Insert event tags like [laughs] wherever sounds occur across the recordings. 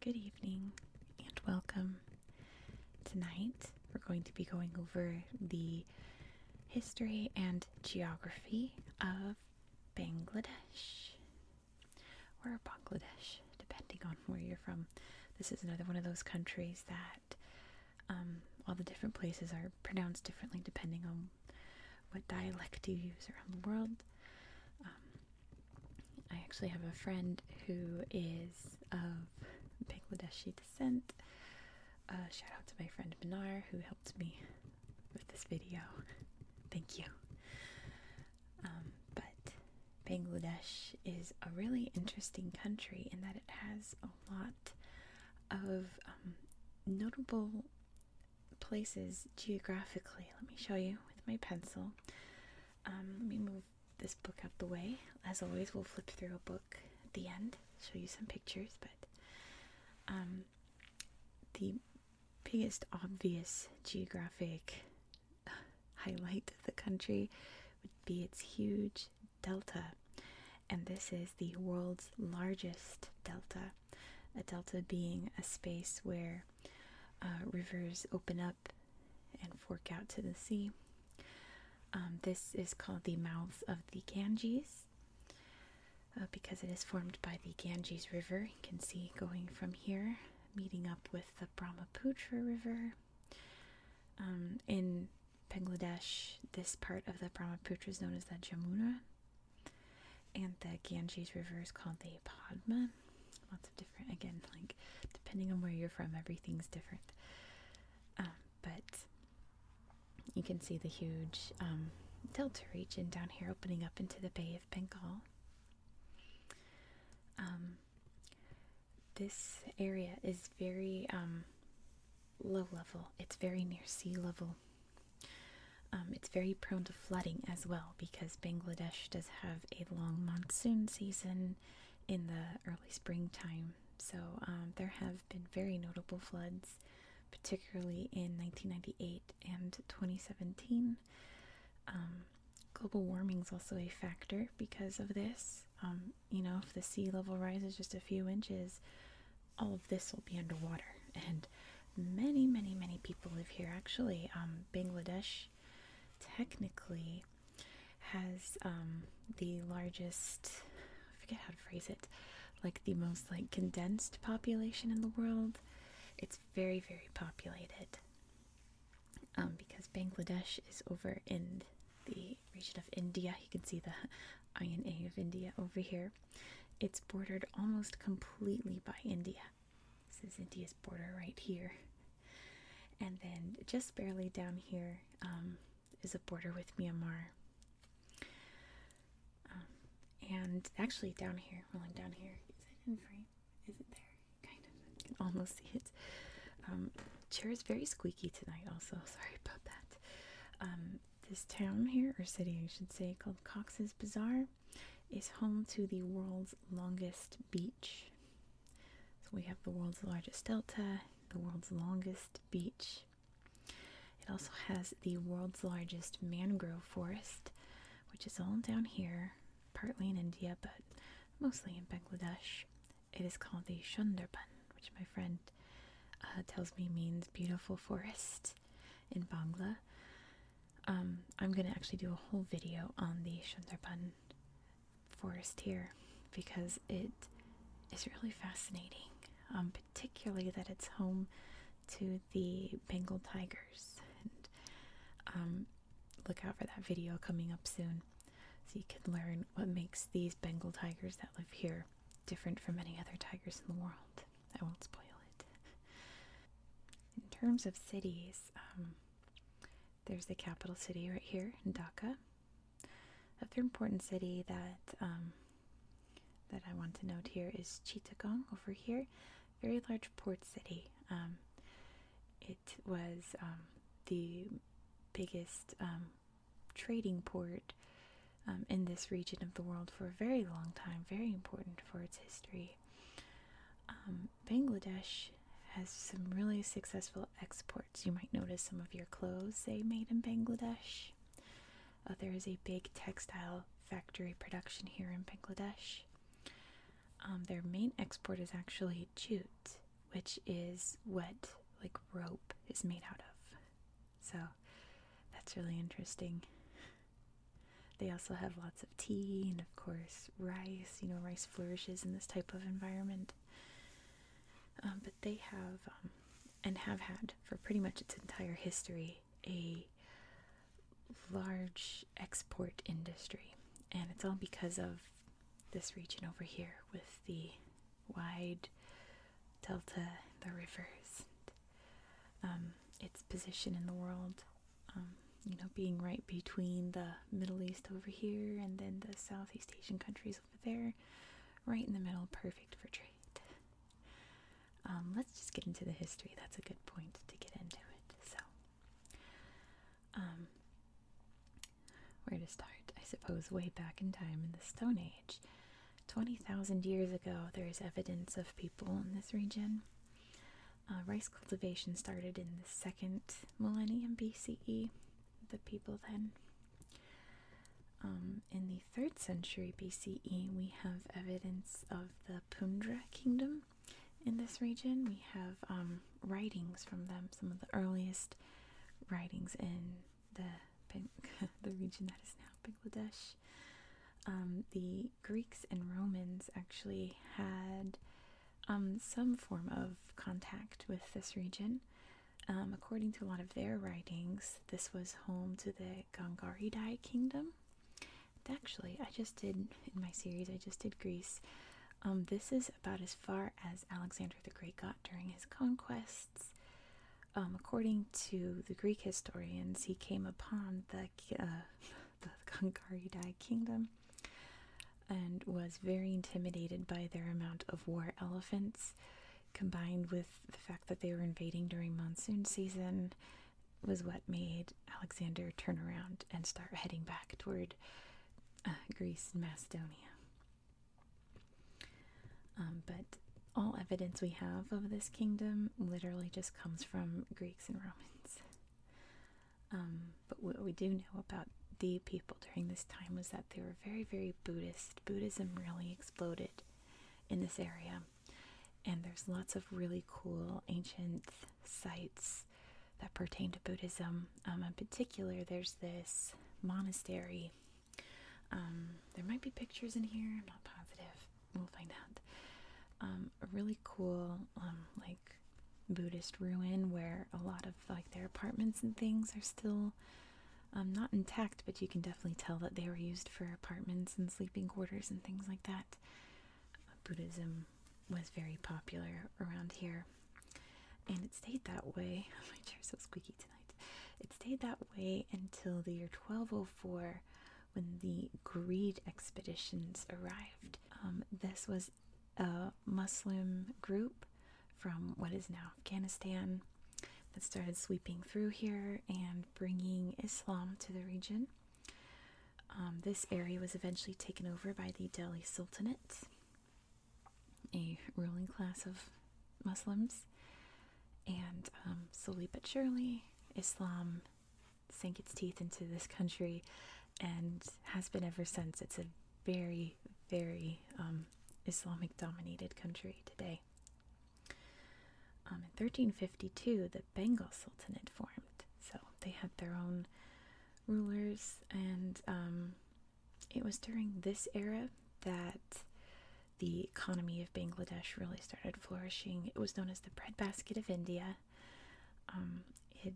Good evening and welcome. Tonight we're going to be going over the history and geography of Bangladesh or Bangladesh, depending on where you're from. This is another one of those countries that um, all the different places are pronounced differently depending on what dialect you use around the world. Um, I actually have a friend who is of Bangladeshi descent. Uh, shout out to my friend Minar who helped me with this video. Thank you. Um, but Bangladesh is a really interesting country in that it has a lot of um, notable places geographically. Let me show you with my pencil. Um, let me move this book out the way. As always, we'll flip through a book at the end, show you some pictures, but um, the biggest obvious geographic highlight of the country would be its huge delta. And this is the world's largest delta. A delta being a space where uh, rivers open up and fork out to the sea. Um, this is called the mouths of the Ganges uh, because it is formed by the Ganges River. You can see going from here, meeting up with the Brahmaputra River. Um, in Bangladesh, this part of the Brahmaputra is known as the Jamuna, and the Ganges River is called the Padma. Lots of different, again, like depending on where you're from, everything's different. Um, but you can see the huge um, delta region down here opening up into the Bay of Bengal. Um, this area is very um, low level, it's very near sea level. Um, it's very prone to flooding as well because Bangladesh does have a long monsoon season in the early springtime. So um, there have been very notable floods, particularly in 1998 and 2017. Um, global warming is also a factor because of this you know, if the sea level rises just a few inches, all of this will be underwater. And many, many, many people live here. Actually, um, Bangladesh technically has um, the largest, I forget how to phrase it, like the most like condensed population in the world. It's very, very populated um, because Bangladesh is over in the region of India. You can see the INA of India over here. It's bordered almost completely by India. This is India's border right here. And then just barely down here, um, is a border with Myanmar. Um, and actually, down here, rolling down here, is it in frame? Is it there? Kind of. I can almost see it. Um, chair is very squeaky tonight, also. [laughs] Sorry about that this town here, or city I should say, called Cox's Bazar, is home to the world's longest beach. So we have the world's largest delta, the world's longest beach. It also has the world's largest mangrove forest, which is all down here, partly in India, but mostly in Bangladesh. It is called the Sundarban which my friend uh, tells me means beautiful forest in Bangla. Um, I'm going to actually do a whole video on the Sundarban forest here because it is really fascinating, um, particularly that it's home to the Bengal tigers. And um, look out for that video coming up soon so you can learn what makes these Bengal tigers that live here different from any other tigers in the world. I won't spoil it. [laughs] in terms of cities, um, there's the capital city right here in Dhaka. Another important city that um, that I want to note here is Chittagong over here, very large port city. Um, it was the biggest trading port um, in this region of the world for a very long time, very important for its history. Um, Bangladesh has some really successful exports. You might notice some of your clothes they made in Bangladesh. Uh, there is a big textile factory production here in Bangladesh. Um, their main export is actually jute, which is what like rope is made out of. So that's really interesting. They also have lots of tea and, of course, rice. You know, rice flourishes in this type of environment. Um, but they have, um, and have had for pretty much its entire history, a large export industry. And it's all because of this region over here with the wide delta, the rivers, um, its position in the world. Um, you know, being right between the Middle East over here and then the Southeast Asian countries over there, right in the middle, perfect for trade. Um, let's just get into the history. That's a good point to get into it. So, where to start? I suppose way back in time in the Stone Age, 20,000 years ago, there is evidence of people in this region. Uh, rice cultivation started in the second millennium BCE, the people then. Um, in the third century BCE, we have evidence of the Pundra kingdom in this region. We have um, writings from them, some of the earliest writings in the [laughs] the region that is now Bangladesh. Um, the Greeks and Romans actually had um, some form of contact with this region. Um, according to a lot of their writings, this was home to the Gangaridae kingdom. actually, I just did in my series. I just did Greece. this is about as far as Alexander the Great got during his conquests. Um, according to the Greek historians, he came upon the uh, [laughs] the Gangaridae kingdom and was very intimidated by their amount of war elephants, combined with the fact that they were invading during monsoon season, was what made Alexander turn around and start heading back toward uh, Greece and Macedonia. Um, but all evidence we have of this kingdom literally just comes from Greeks and Romans. Um, but what we do know about the people during this time was that they were very, very Buddhist. Buddhism really exploded in this area. And there's lots of really cool ancient sites that pertain to Buddhism. Um, in particular, there's this monastery um, there might be pictures in here. I'm not positive. We'll find out. Um, a really cool, um, like Buddhist ruin where a lot of like their apartments and things are still not intact, but you can definitely tell that they were used for apartments and sleeping quarters and things like that. Buddhism was very popular around here, and it stayed that way. [laughs] My chair's so squeaky it stayed that way until the year 1204 when the greed expeditions arrived. Um, this was a Muslim group from what is now Afghanistan that started sweeping through here and bringing Islam to the region. Um, this area was eventually taken over by the Delhi Sultanate, a ruling class of Muslims, and um, slowly but surely, Islam sank its teeth into this country and has been ever since. It's a very, very um, Islamic dominated country today. Um, in 1352, the Bengal Sultanate formed, so they had their own rulers, and it was during this era that the economy of Bangladesh really started flourishing. It was known as the breadbasket of India. Um, it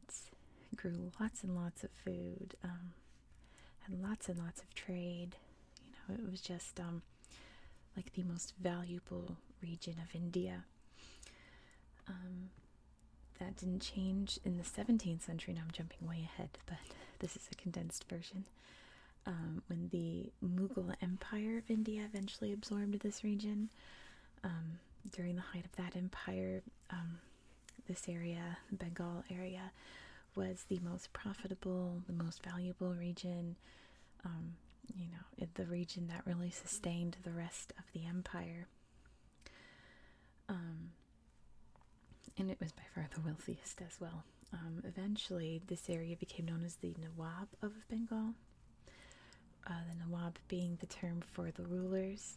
grew lots and lots of food, um, had lots and lots of trade. You know, it was just um, like the most valuable region of India. Um, that didn't change in the 17th century. Now I'm jumping way ahead, but this is a condensed version. Um, when the Mughal Empire of India eventually absorbed this region. Um, during the height of that empire, um, this area, Bengal area, was the most profitable, the most valuable region. you know, the region that really sustained the rest of the empire. and it was by far the wealthiest as well. Um, eventually, this area became known as the Nawab of Bengal. Uh, the Nawab being the term for the rulers,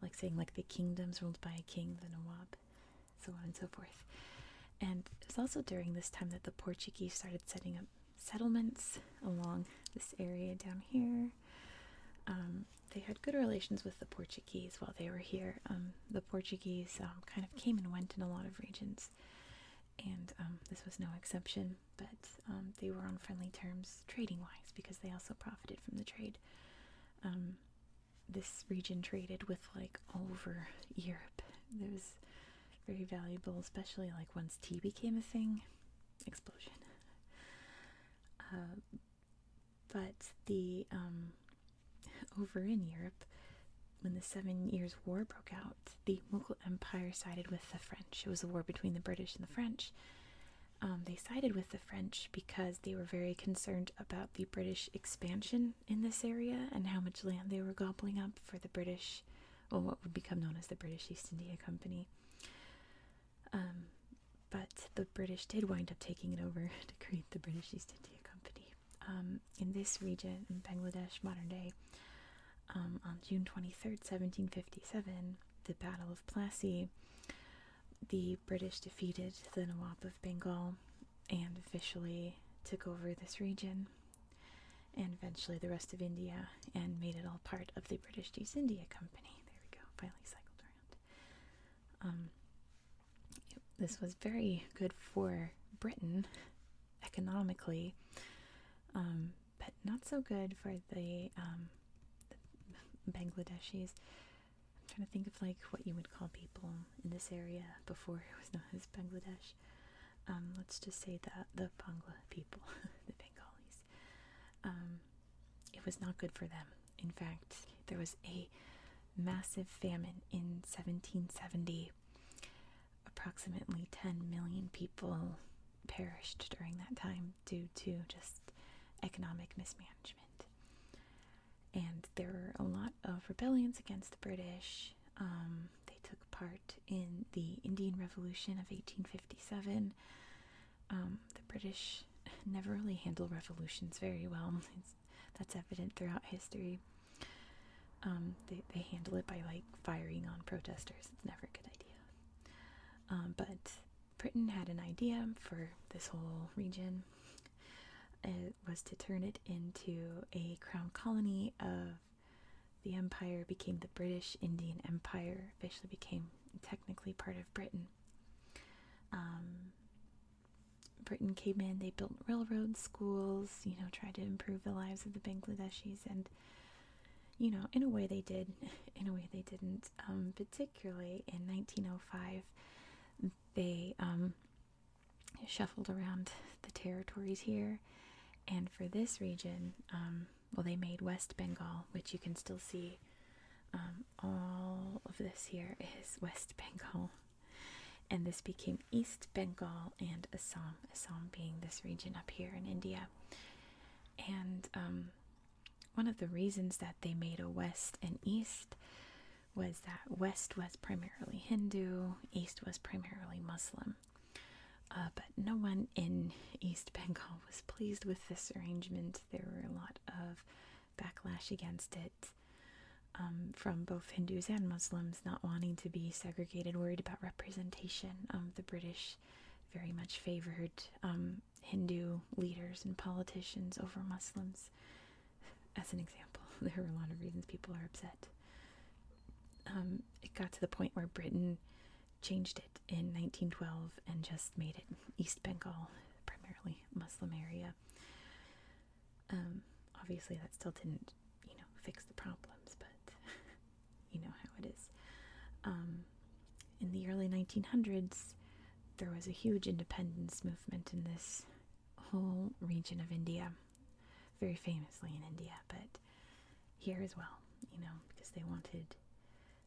like saying like the kingdoms ruled by a king, the Nawab, so on and so forth. And it was also during this time that the Portuguese started setting up settlements along this area down here. Um, they had good relations with the Portuguese while they were here. Um, the Portuguese kind of came and went in a lot of regions and um, this was no exception. But um, they were on friendly terms trading wise because they also profited from the trade. Um, this region traded with like over Europe. It was very valuable, especially like once tea became a thing. Explosion. Uh, but the [laughs] over in Europe, when the Seven Years' War broke out, the Mughal Empire sided with the French. It was a war between the British and the French. Um, they sided with the French because they were very concerned about the British expansion in this area and how much land they were gobbling up for the British, or what would become known as the British East India Company. Um, but the British did wind up taking it over [laughs] to create the British East India Company. Um, in this region in Bangladesh, modern day, um, on June 23rd, 1757, the Battle of Plassey, the British defeated the Nawab of Bengal and officially took over this region and eventually the rest of India and made it all part of the British East India Company. There we go, finally cycled around. Um, this was very good for Britain economically, um, but not so good for um, the, Bangladeshis. I'm trying to think of like what you would call people in this area before it was known as Bangladesh. Um, let's just say that the Bangla people, [laughs] the Bengalis, it was not good for them. In fact, there was a massive famine in 1770 Approximately 10 million people perished during that time due to just economic mismanagement. And there were a lot of rebellions against the British. Um, they took part in the Indian Revolution of 1857. Um, the British [laughs] never really handle revolutions very well. that's evident throughout history. Um, they, they handle it by like firing on protesters. It's never a good idea. Um, but Britain had an idea for this whole region. It was to turn it into a crown colony of the empire, became the British Indian Empire, officially became technically part of Britain. Um, Britain came in, they built railroads, schools, you know, tried to improve the lives of the Bangladeshis, and you know, in a way they did, [laughs] in a way they didn't. Um, particularly in 1905, they um, shuffled around the territories here, and for this region, um, well, they made West Bengal, which you can still see. all of this here is West Bengal, and this became East Bengal and Assam, Assam being this region up here in India. And um, one of the reasons that they made a West and East was that West was primarily Hindu, East was primarily Muslim. Uh, but no one in East Bengal was pleased with this arrangement. There were a lot of backlash against it um, from both Hindus and Muslims not wanting to be segregated, worried about representation. of the British very much favored um, Hindu leaders and politicians over Muslims. As an example, [laughs] there were a lot of reasons people are upset. Um, it got to the point where Britain changed it in 1912 and just made it East Bengal, primarily Muslim area. Um, obviously, that still didn't you know, fix the problems, but [laughs] you know how it is. Um, in the early 1900s, there was a huge independence movement in this whole region of India, very famously in India, but here as well, you know, because they wanted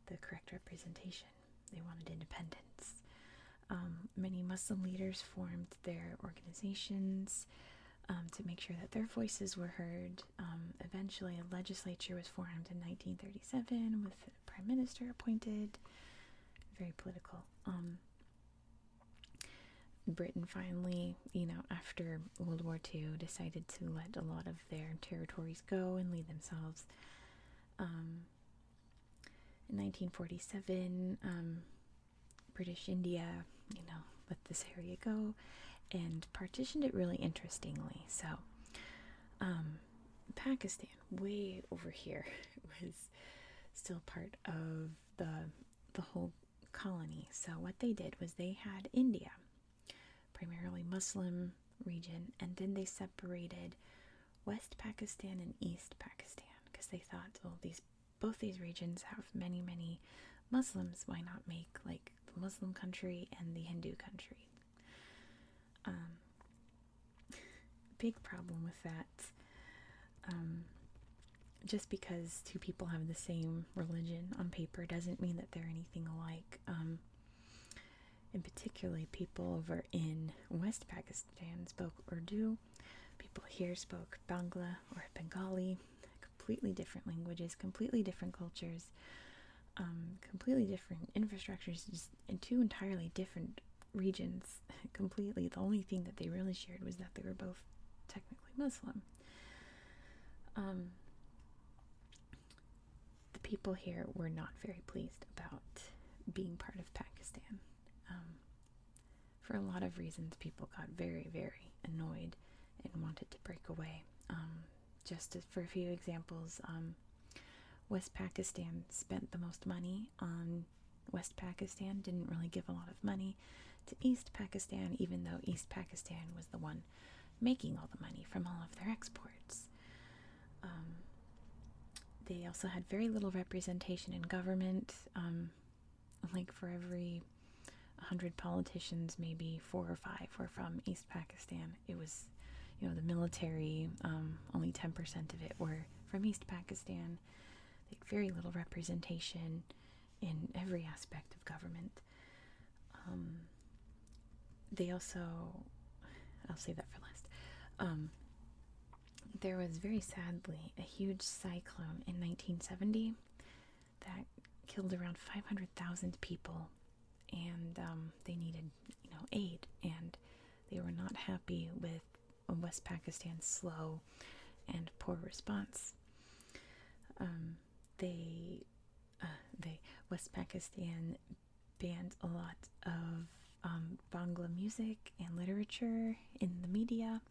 the correct representation, they wanted independence. Um, many Muslim leaders formed their organizations um, to make sure that their voices were heard. Um, eventually, a legislature was formed in 1937 with a prime minister appointed. Very political. Um, Britain finally, you know, after World War II, decided to let a lot of their territories go and lead themselves. in 1947, British India, you know, let this area go, and partitioned it really interestingly. So, um, Pakistan, way over here, [laughs] was still part of the the whole colony. So what they did was they had India, primarily Muslim region, and then they separated West Pakistan and East Pakistan because they thought, all oh, these both these regions have many, many Muslims. Why not make like the Muslim country and the Hindu country? Um, [laughs] big problem with that. Um, just because two people have the same religion on paper doesn't mean that they're anything alike. and um, particularly, people over in West Pakistan spoke Urdu, people here spoke Bangla or Bengali, completely different languages, completely different cultures, um, completely different infrastructures, just in two entirely different regions. [laughs] completely, the only thing that they really shared was that they were both technically Muslim. Um, the people here were not very pleased about being part of Pakistan. Um, for a lot of reasons, people got very, very annoyed and wanted to break away. Um, just for a few examples, um, West Pakistan spent the most money on West Pakistan, didn't really give a lot of money to East Pakistan, even though East Pakistan was the one making all the money from all of their exports. Um, they also had very little representation in government like for every 100 politicians maybe four or five were from east pakistan it was you know the military um, only 10% of it were from east pakistan they had very little representation in every aspect of government um, they also i'll save that for last um, there was very sadly a huge cyclone in 1970 that killed around 500,000 people, and um, they needed, you know, aid, and they were not happy with West Pakistan's slow and poor response. Um, they, uh, they, West Pakistan banned a lot of um, Bangla music and literature in the media.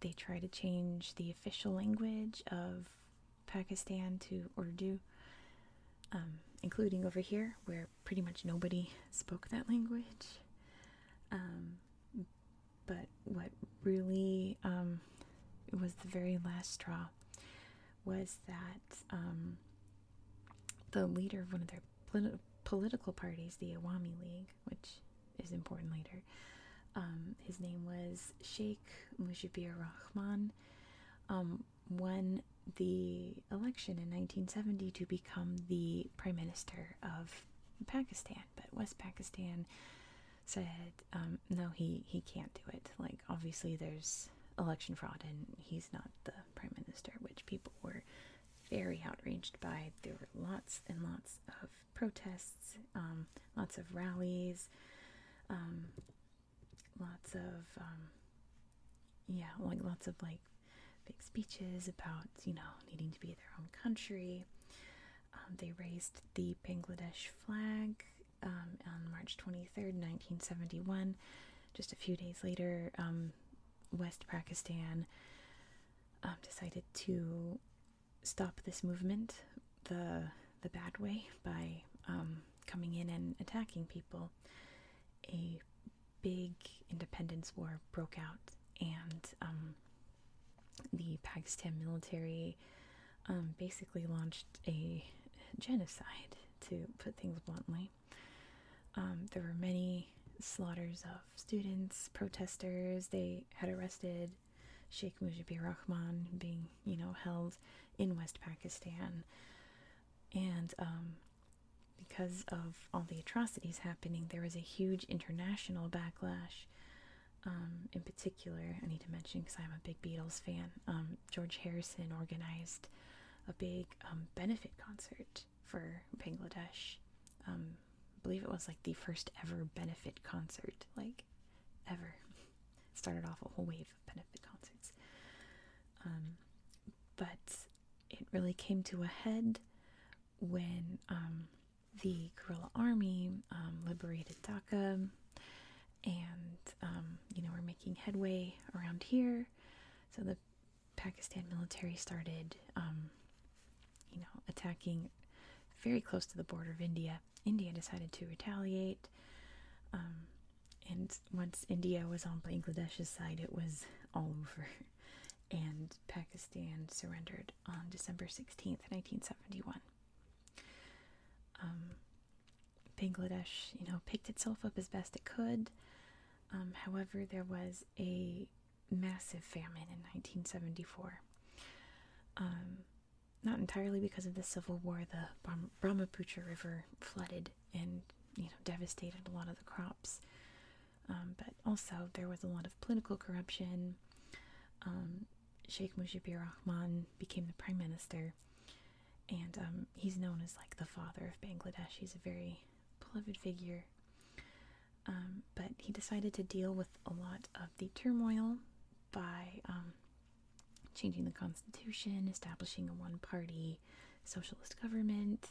They try to change the official language of Pakistan to Urdu, um, including over here where pretty much nobody spoke that language. Um, but what really um, was the very last straw was that the leader of one of their political parties, the Awami League, which is important later. Um, his name was Sheikh Mujibur Rahman, um, won the election in 1970 to become the prime minister of Pakistan. But West Pakistan said, um, no, he, he can't do it. Like, obviously, there's election fraud, and he's not the prime minister, which people were very outraged by. There were lots and lots of protests, um, lots of rallies, um, lots of um, yeah, like lots of like big speeches about you know needing to be their own country. they raised the Bangladesh flag on March 23rd, 1971. Just a few days later, West Pakistan decided to stop this movement the the bad way by um, coming in and attacking people, a big independence war broke out, and um, the Pakistan military um, basically launched a genocide, to put things bluntly. there were many slaughters of students, protesters. They had arrested Sheikh Mujibur Rahman being, you know, held in West Pakistan. And um, because of all the atrocities happening, there was a huge international backlash. Um, in particular, I need to mention because I'm a big Beatles fan, um, George Harrison organized a big benefit concert for Bangladesh. I believe it was like the first ever benefit concert, like ever started off a whole wave of benefit concerts. Um, but it really came to a head when um, the guerrilla army um, liberated Dhaka, and you know we're making headway around here. So the Pakistan military started, you know, attacking very close to the border of India India. decided to retaliate. Um, and once India was on Bangladesh's side, it was all over. [laughs] And Pakistan surrendered on December 16th, 1971. Um, Bangladesh, you know, picked itself up as best it could. Um, however, there was a massive famine in 1974 not entirely because of the Civil War, the Brahmaputra River flooded and you know devastated a lot of the crops. Um, but also there was a lot of political corruption. Um, Sheikh Mujibur Rahman became the prime minister, and um, he's known as like the father of Bangladesh. He's a very beloved figure. but he decided to deal with a lot of the turmoil by changing the constitution, establishing a one party socialist government,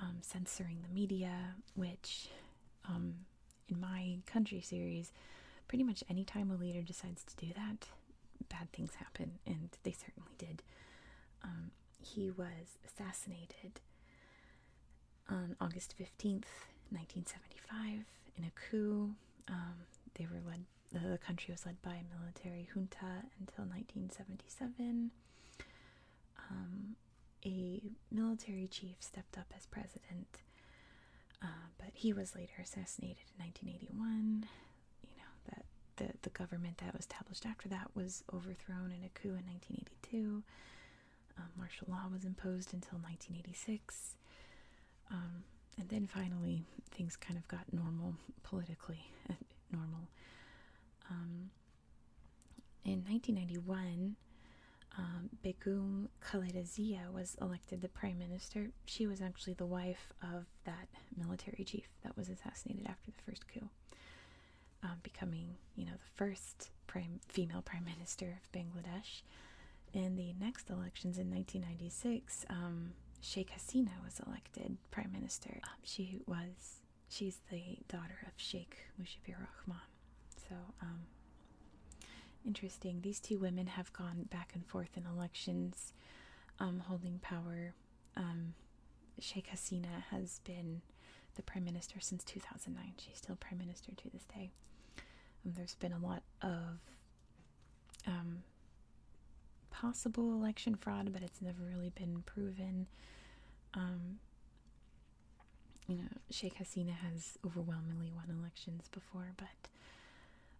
um, censoring the media, which um, in my country series, pretty much any time a leader decides to do that, bad things happen, and they certainly did. Um, he was assassinated on August 15th, 1975, in a coup um, they were led. the country was led by a military junta until 1977. Um, a military chief stepped up as president, uh, but he was later assassinated in 1981. You know that the the government that was established after that was overthrown in a coup in 1982. Um, martial law was imposed until 1986. Um, and then finally, things kind of got normal politically, [laughs] normal. Um, in 1991, um, Begum Khalidazia was elected the prime minister. She was actually the wife of that military chief that was assassinated after the first coup, um, becoming, you know, the first female prime minister Bangladesh. In the next elections in 1996, um, Sheikh Hasina was elected prime minister. Um, she was she's the daughter of Sheikh Mujibur Rahman. So um, interesting. These two women have gone back and forth in elections, holding power. Sheikh Hasina has been the prime minister since 2009. She's still prime minister to this day. there's been a lot of um, possible election fraud, but it's never really been proven. Um, you know, Sheikh Hasina has overwhelmingly won elections before, but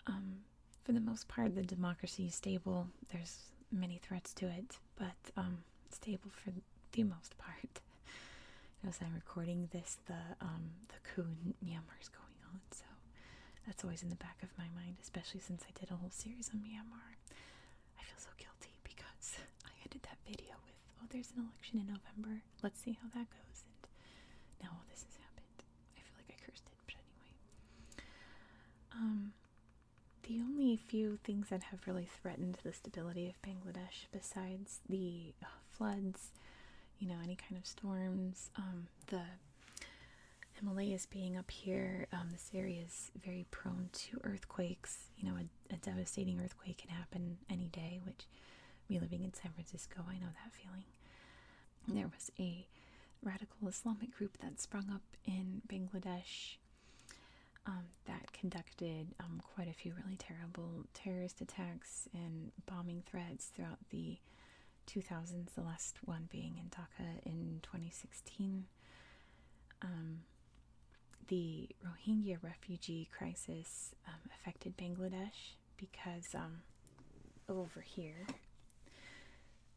um, for the most part, the democracy is stable. There's many threats to it, but stable for the most part. [laughs] As I'm recording this, the um, the coup in Myanmar is going on. So that's always in the back of my mind, especially since I did a whole series on Myanmar. I feel so guilty because I ended that video with, "Oh, there's an election in November. Let's see how that goes." And now all this has happened. I feel like I cursed it, but anyway. Um, the only few things that have really threatened the stability of Bangladesh, besides the uh, floods, you know, any kind of storms, um, the Himalayas being up here, um, this area is very prone to earthquakes. You know, a, devastating earthquake can happen any day, which me living in San Francisco, I know that feeling. There was a radical Islamic group that sprung up in Bangladesh um, that conducted um, quite a few really terrible terrorist attacks and bombing threats throughout the 2000s, the last one being in Dhaka in 2016. Um, the Rohingya refugee crisis um, affected Bangladesh because um, over here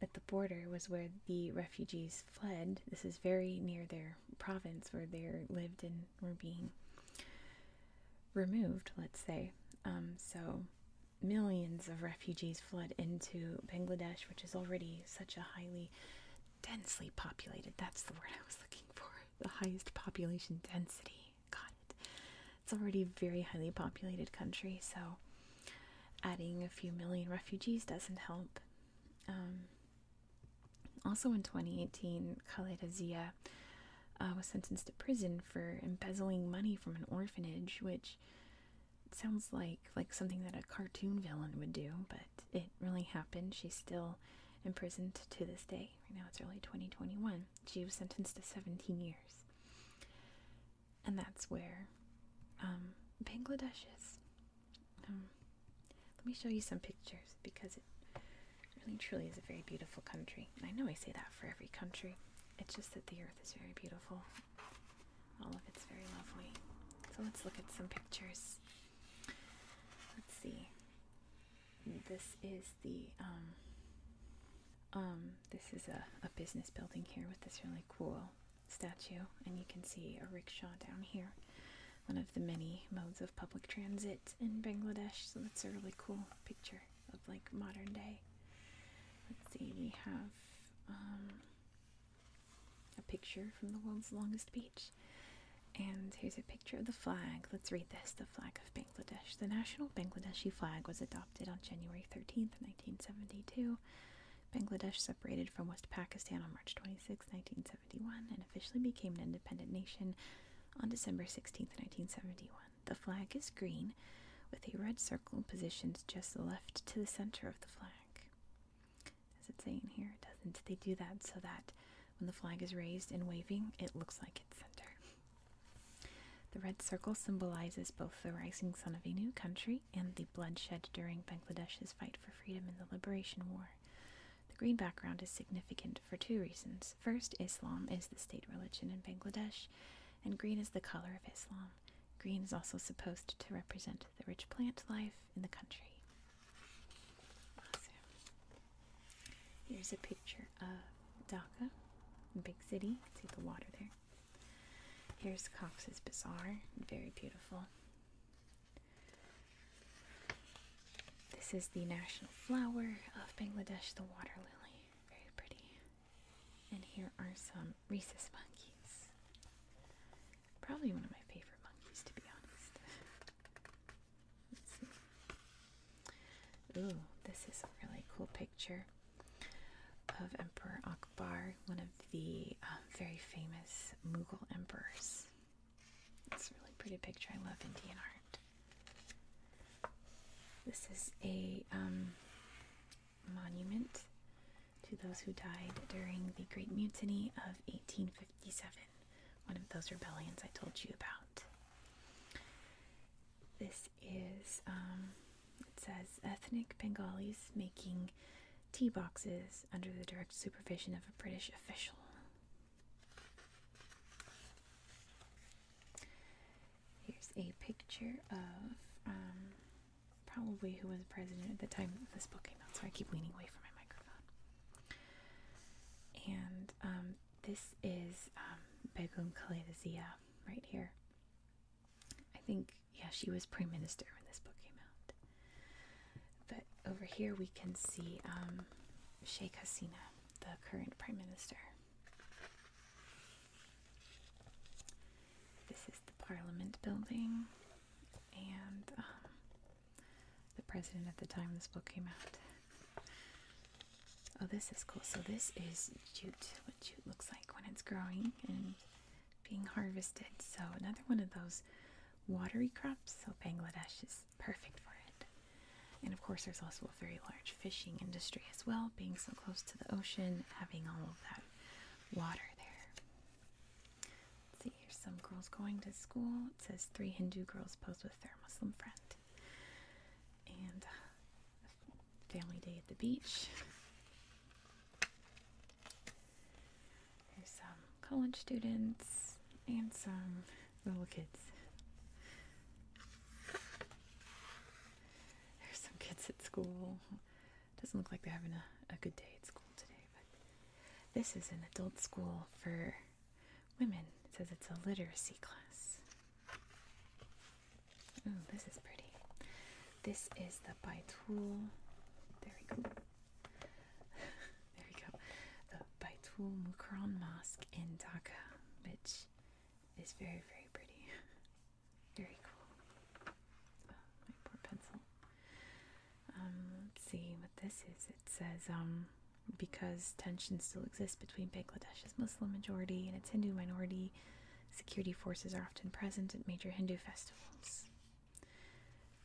at the border was where the refugees fled. This is very near their province where they lived and were being removed, let's say. so millions of refugees flood into Bangladesh, which is already such a highly densely populated that's the word I was looking for the highest population density. Got it. It's already a very highly populated country, so adding a few million refugees doesn't help. Um, also in 2018, Khaled Azia uh, was sentenced to prison for embezzling money from an orphanage, which sounds like like something that a cartoon villain would do, but it really happened. She's still imprisoned to this day. Right now it's early 2021. She was sentenced to 17 years. And that's where um, Bangladesh is. Um, let me show you some pictures because it really truly is a very beautiful country. I know I say that for every country. It's just that the earth is very beautiful. All of it's very lovely. So let's look at some pictures. Let's see. This is the um um this is a, a business building here with this really cool statue and you can see a rickshaw down here. One of the many modes of public transit in Bangladesh, so that's a really cool picture of like modern day. Let's see, we have um, a picture from the world's longest beach. And here's a picture of the flag. Let's read this the flag of Bangladesh. The national Bangladeshi flag was adopted on January 13th, 1972. Bangladesh separated from West Pakistan on March 26, 1971, and officially became an independent nation on December 16, 1971. The flag is green with a red circle positioned just left to the center of the flag. As it's saying here, it doesn't. They do that so that when the flag is raised and waving, it looks like it's center. The red circle symbolizes both the rising sun of a new country and the bloodshed during Bangladesh's fight for freedom in the Liberation War. The green background is significant for two reasons. First, Islam is the state religion in Bangladesh, and green is the color of Islam. Green is also supposed to represent the rich plant life in the country. Here's a picture of Dhaka, big city. See the water there. Here's Cox's Bazaar, very beautiful. This is the national flower of Bangladesh, the water lily. Very pretty. And here are some rhesus monkeys. Probably one of my favorite monkeys, to be honest. Let's see. Ooh, this is a really cool picture of Emperor Akbar, one of the um, very famous Mughal emperors. It's a really pretty picture. I love Indian art. This is a um, monument to those who died during the Great Mutiny of 1857, one of those rebellions I told you about. This is, um, it says, ethnic Bengalis making tea boxes under the direct supervision of a British official. Here's a picture of um, probably who was president at the time this book came out, so I keep leaning away from my microphone. And um, this is um, Begum Khalidazia right here. I think, yeah, she was prime minister when this book came out. But over here we can see um, Sheikh Hasina, the current prime minister. This is the Parliament building, and um, the president at the time this book came out. Oh, this is cool. So this is jute, what jute looks like when it's growing and being harvested. So another one of those watery crops. So Bangladesh is perfect for it. And of course, there's also a very large fishing industry as well being so close to the ocean, having all of that water there. see, here's some girls going to school. It says three Hindu girls pose with their Muslim friend. And uh, family day at the beach. Here's some college students and some little kids. There's some kids at school. Doesn't look like they're having a, good day at school today, but this is an adult school for women. It says it's a literacy class. Oh, this is pretty. This is the Baitul. There we go. [laughs] there we go. The Baitul Mukran Mosque in Dhaka, which is very, very pretty. [laughs] Very cool. my poor pencil. Um, let's see what this is. It says, um, because tensions still exist between Bangladesh's Muslim majority and its Hindu minority, security forces are often present at major Hindu festivals.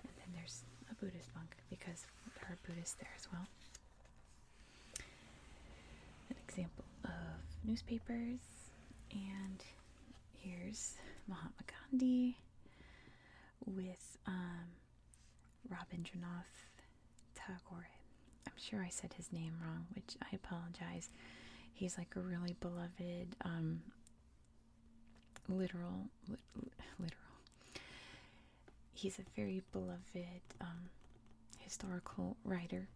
And then there's a Buddhist monk because there are Buddhists there as well. An example of newspapers and here's Mahatma Gandhi with um, Rabindranath Tagore. I'm sure I said his name wrong, which I apologize. He's like a really beloved um, literal, literal. He's a very beloved um, historical writer.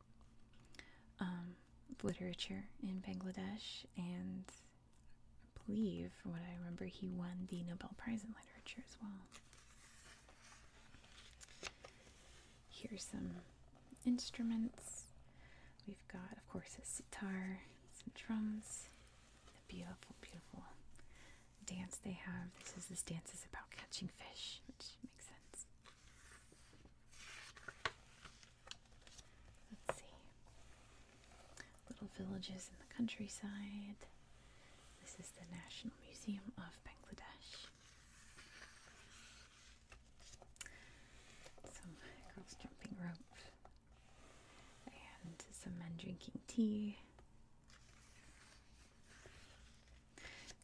Um, literature in Bangladesh, and I believe, from what I remember, he won the Nobel Prize in Literature as well. Here's some instruments. We've got, of course, a sitar, some drums, the beautiful, beautiful dance they have. This is this dance is about catching fish, which makes sense. Let's see. Little villages in the countryside. This is the National Museum of Bangladesh. Some girls jumping rope and some men drinking tea.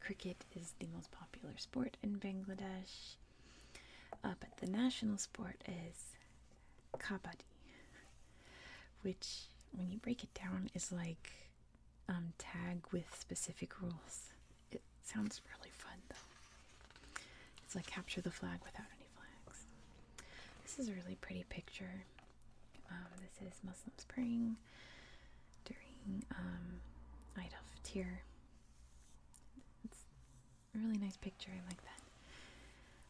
Cricket is the most popular sport in Bangladesh. Uh, but the national sport is kabaddi, which, when you break it down, is like um, tag with specific rules. It sounds really fun though. It's like capture the flag without any flags. This is a really pretty picture. Um, this is Muslims praying during um, Eid al-Fitr, it's a really nice picture. I like that.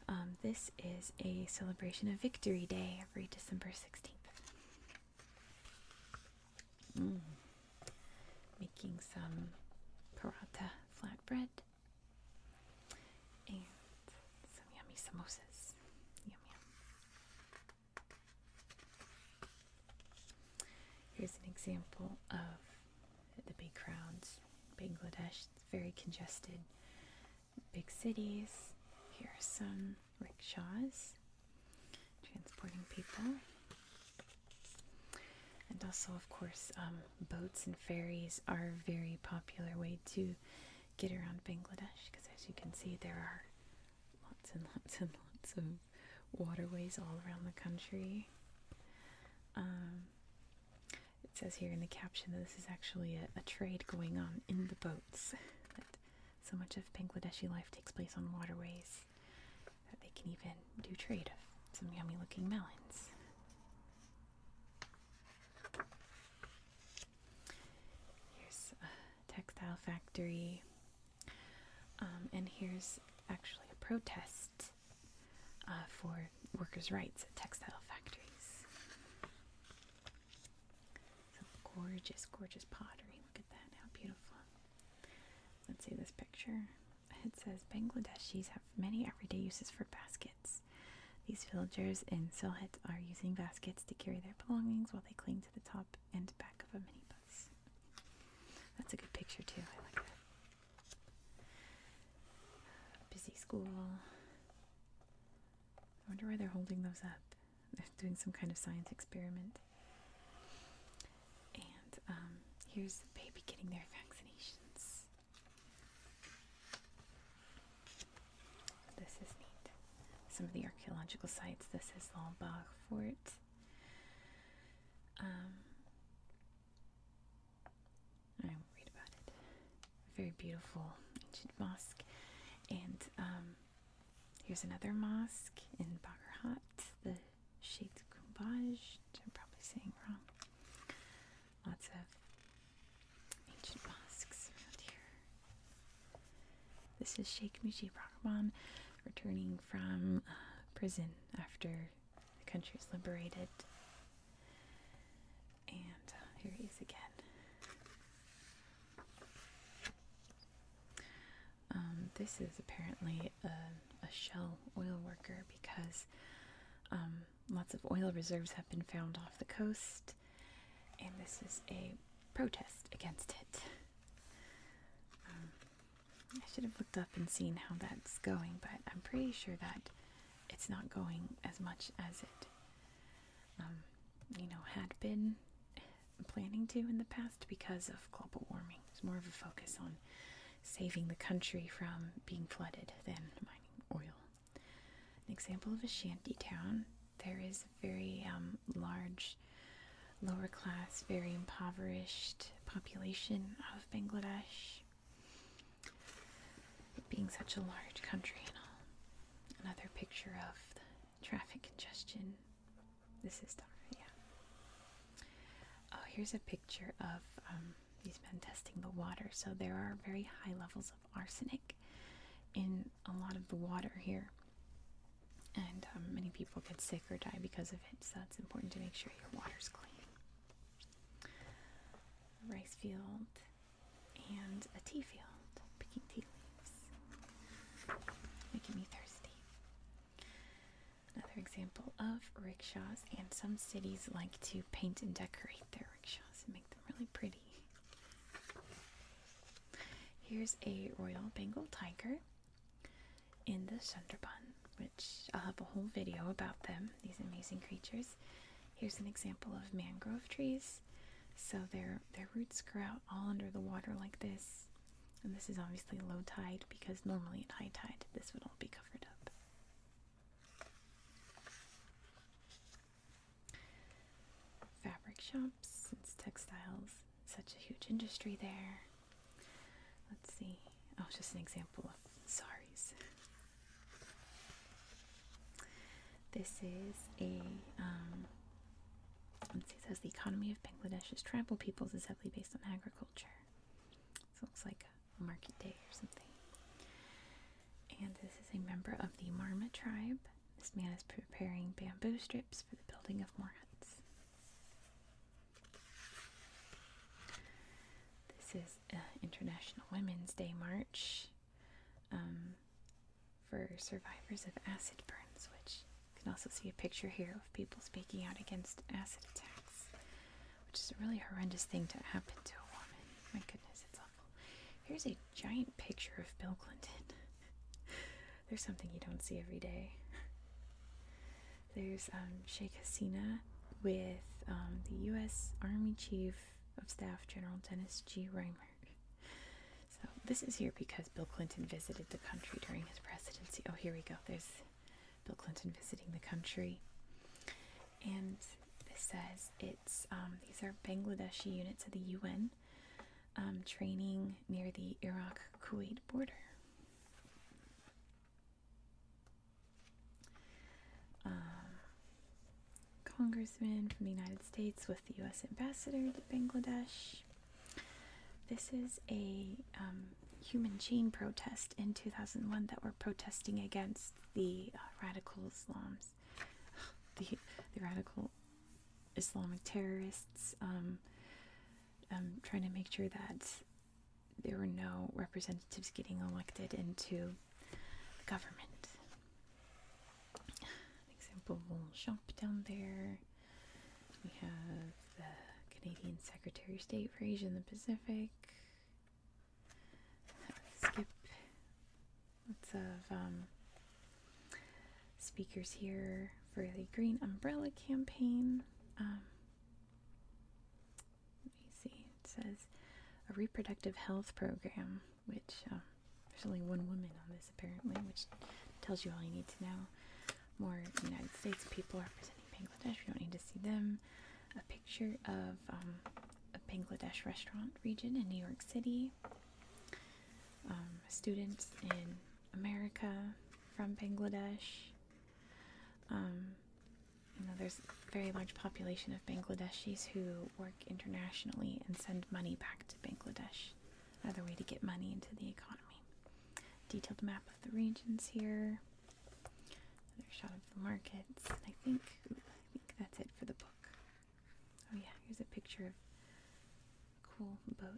Um, this is a celebration of Victory Day every December 16th. Mm. Making some paratha flatbread and some yummy samosas. Yum yum. Here's an example of the big crowds. Bangladesh, very congested. Big cities. Here are some rickshaws transporting people. And also, of course, um, boats and ferries are a very popular way to get around Bangladesh because, as you can see, there are lots and [laughs] lots and lots of waterways all around the country. Um, it says here in the caption that this is actually a, trade going on in the boats. [laughs] so much of Bangladeshi life takes place on waterways that they can even do trade of some yummy looking melons. Here's a textile factory. Um, and here's actually a protest uh, for workers' rights at textile factories. Some gorgeous, gorgeous pottery. Look at that, how beautiful. Let's see this picture. It says Bangladeshis have many everyday uses for baskets. These villagers in Silhet are using baskets to carry their belongings while they cling to the top and back of a minibus. That's a good picture too. I like that. Busy school. I wonder why they're holding those up. They're doing some kind of science experiment. And um, here's the baby getting their vaccinations. This is neat. Some of the archaeological sites. This is Lombard Fort. Um, I won't read about it. Very beautiful ancient mosque. And um, here's another mosque in Bagherhat, the Sheikh Kumbaj. I'm probably saying wrong. Lots of ancient mosques around here. This is Sheikh Mujib Rahman returning from uh, prison after the country is liberated. And uh, here he is again. Um, this is apparently a, shell oil worker because um, lots of oil reserves have been found off the coast, and this is a protest against it. Um, I should have looked up and seen how that's going, but I'm pretty sure that it's not going as much as it, um, you know, had been planning to in the past because of global warming. It's more of a focus on saving the country from being flooded than mining oil. An example of a shanty town. There is a very um, large lower class, very impoverished population of Bangladesh. being such a large country and all. Another picture of traffic congestion. This is Dhaka, yeah. Oh, here's a picture of um, these men testing the water. So there are very high levels of arsenic in a lot of the water here. And um, many people get sick or die because of it, so it's important to make sure water's clean. rice field and a tea field, picking tea leaves. Making me thirsty. Another example of rickshaws, and some cities like to paint and decorate their rickshaws and make them really pretty. Here's a Royal Bengal Tiger in the Sunderbun, which I'll have a whole video about them, these amazing creatures. Here's an example of mangrove trees. So their their roots grow out all under the water like this. And this is obviously low tide because normally at high tide this would all be covered up. Fabric shops, since textiles, such a huge industry there. Let's see. Oh, just an example of saris. This is a, um, let's see, it says the economy of Bangladesh's tribal peoples is heavily based on agriculture. So it looks like a market day or something. And this is a member of the Marma tribe. This man is preparing bamboo strips for the building of more huts. This is uh, International Women's Day March um, for survivors of acid burns, which you can also see a picture here of people speaking out against acid attacks, which is a really horrendous thing to happen to a woman. My goodness, it's awful. Here's a giant picture of Bill Clinton. [laughs] There's something you don't see every day. There's um, Sheikh Hasina with um, the U.S. Army Chief of Staff General Dennis G. Reimer. So this is here because Bill Clinton visited the country during his presidency. Oh, here we go. There's Bill Clinton visiting the country, and this says it's um, these are Bangladeshi units of the UN um, training near the Iraq-Kuwait border. Uh, congressman from the United States with the U.S. ambassador to Bangladesh. This is a um, human chain protest in 2001 that were protesting against the uh, radical Islams, [sighs] the, the radical Islamic terrorists, I'm um, um, trying to make sure that there were no representatives getting elected into the government. An example Longchamp down there. We have the Canadian Secretary of State for Asia and the Pacific. Skip lots of um, speakers here for the Green Umbrella Campaign. Um, let me see. It says a reproductive health program, which um, there's only one woman on this apparently, which tells you all you need to know. More United States people representing Bangladesh. We don't need to see them. A picture of um, a Bangladesh restaurant region in New York City. Um, students in America from Bangladesh there's a very large population of Bangladeshis who work internationally and send money back to Bangladesh. Another way to get money into the economy. Detailed map of the regions here. Another shot of the markets. I think, I think that's it for the book. Oh yeah, here's a picture of a cool boat.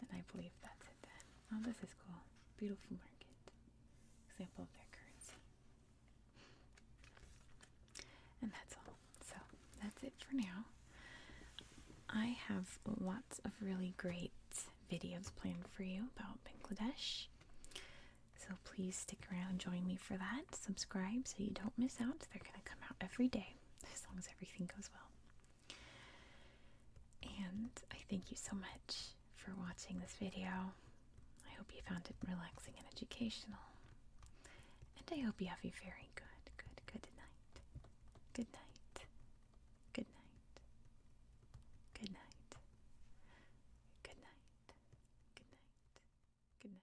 And I believe that's it then. Oh, this is cool. Beautiful market. Example of their currency. And that's all. So that's it for now. I have lots of really great videos planned for you about Bangladesh. So please stick around, join me for that. Subscribe so you don't miss out. They're going to come out every day as long as everything goes well. And I thank you so much for watching this video. I hope you found it relaxing and educational. And I hope you have a very good, good, good night. Good night. Good night. Good night. Good night. Good night. Good night.